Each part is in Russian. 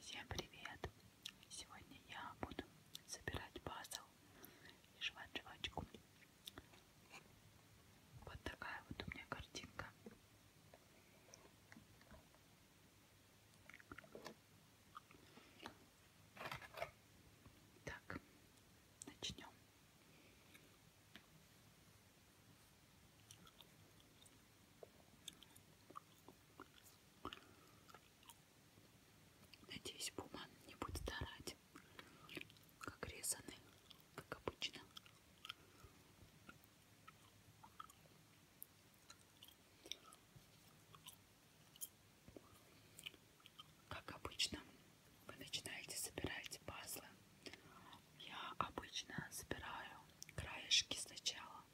Всем привет! Сегодня я буду собирать пазл и жевать жвачку. Вот такая вот у меня картинка. Так, начнем. Надеюсь, буман не будет старать, как резаны, как обычно. Как обычно, вы начинаете собирать пазлы. Я обычно собираю краешки сначала,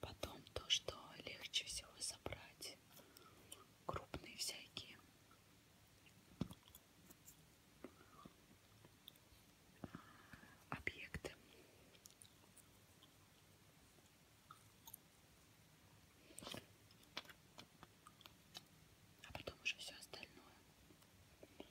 Потом то, что легче всего собрать, крупные всякие. Объекты. А потом уже все остальное. Так,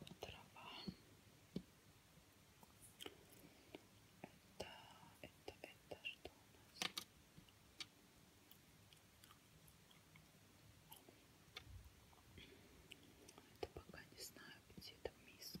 вот трава. Это, это, это что у нас? Это пока не знаю, где эта миска.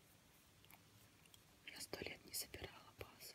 Я сто лет не собирала базу.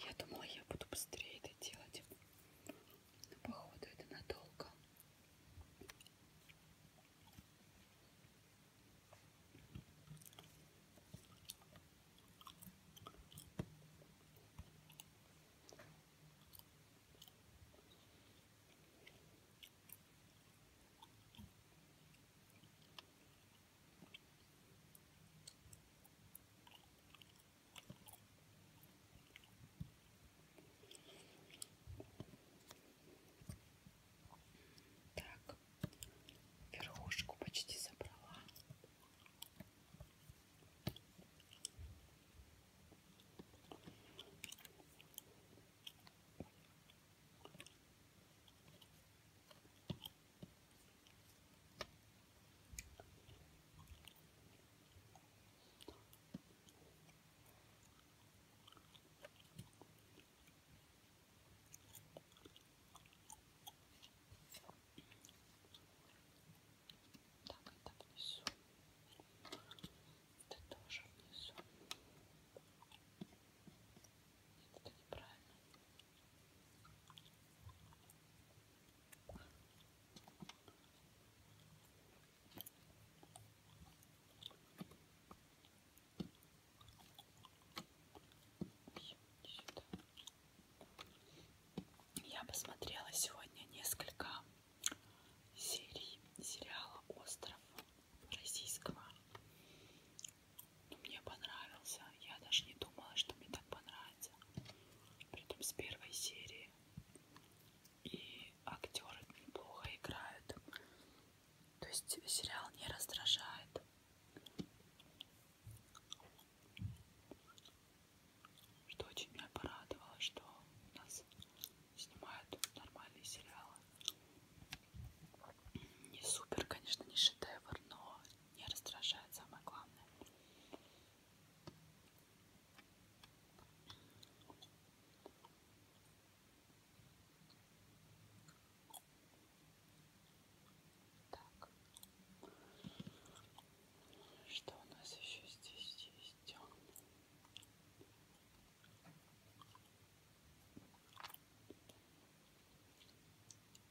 Я думала, я буду быстрее это делать. Но походу это надолго. Так, верхушку почти забрала. Так, это внизу. Это тоже внизу. Нет, это неправильно. Я посмотрела сегодня несколько серий сериала Остров российского но мне понравился. Я даже не думала, что мне так понравится. Притом с первой серии. И актеры неплохо играют. То есть сериал не раздражает. Что очень меня порадовало, что у нас снимают нормальные сериалы не супер, конечно, не шедевр, но не раздражает самое главное. Так. Что у нас еще здесь есть?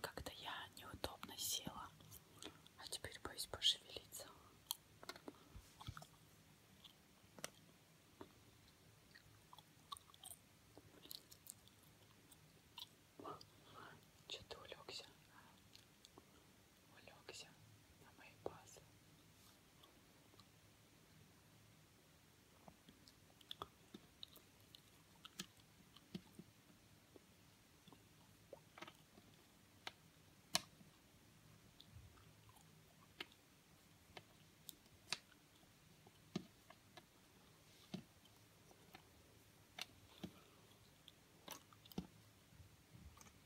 Как-то я неудобно села, а теперь боюсь пошевелиться. Че ты улегся? улегся на мои пазлы.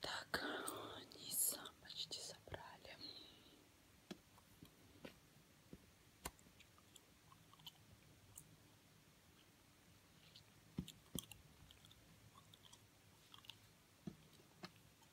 Так, низ почти собрали.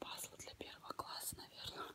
Пазл для первого класса, наверное.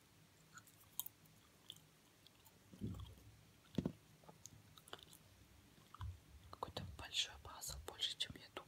Какой-то большой пазл, больше, чем я думала.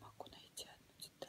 Могу найти одну деталь.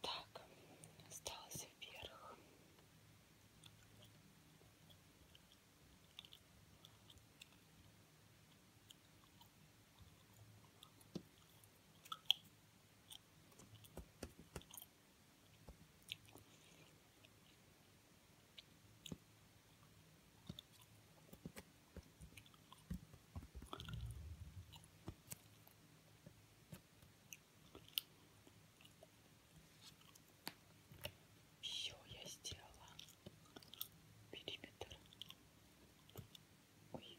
Так, осталось вверх. Все я сделала. Периметр. Ой.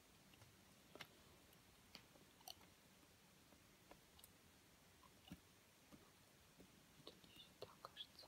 Это не сюда, кажется.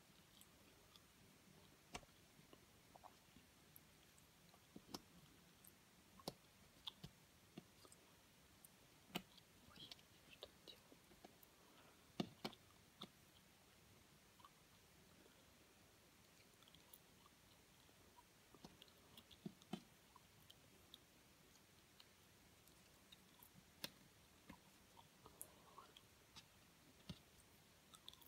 Ой, что я делаю?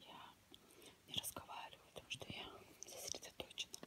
Я не разговариваю, потому что я сосредоточена.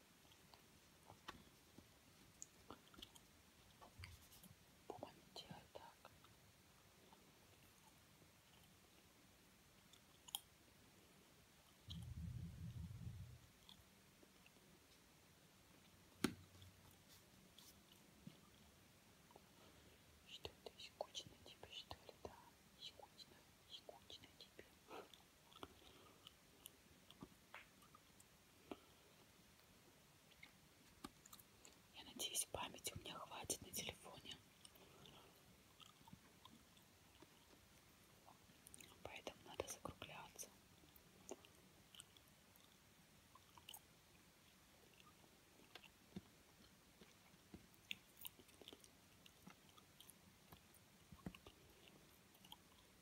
По-моему, делай так. Что это, скучно тебе, что ли, да? Скучно, скучно тебе. Я надеюсь, памяти у меня хватит на телефоне. Поэтому надо закругляться.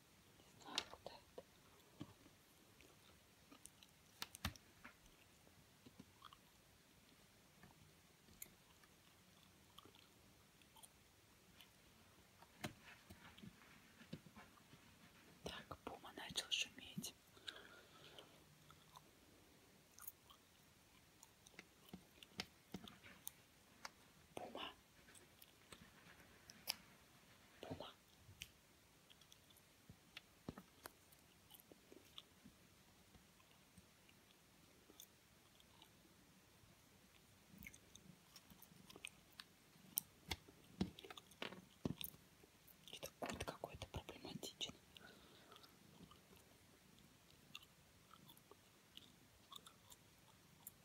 Не знаю, куда это. Так, Пума начал шуметь. Пума, Пума. Это кот какой-то проблематичный.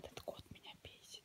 Этот кот меня бесит.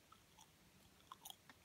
Прямо что за деталь.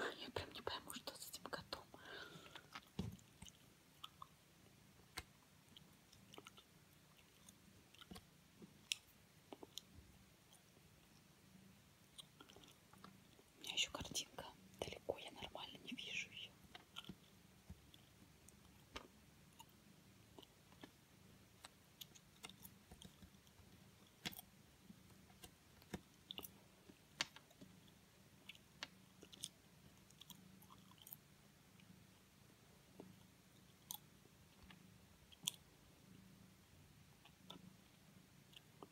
А, я прям не пойму, что с этим котом. У меня еще картинка далеко, я нормально не вижу ее.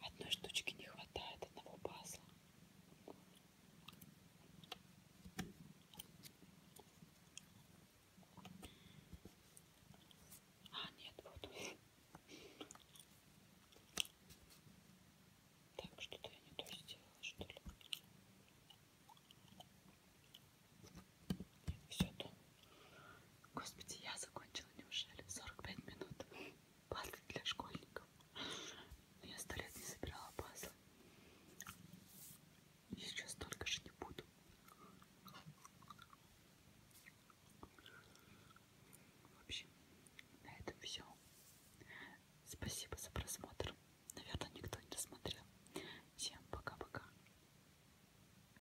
Одной штучки не хватает, одного пазла. А, нет, вот. Так, что-то я не то сделала, что ли? Нет, все то. Господи, я закончила неужели 45 минут пазлы для школьников. Но ну, я сто лет не собирала пазлы. И сейчас только же не буду. В общем, на этом все. Спасибо за просмотр. Наверное, никто не досмотрел. Всем пока-пока.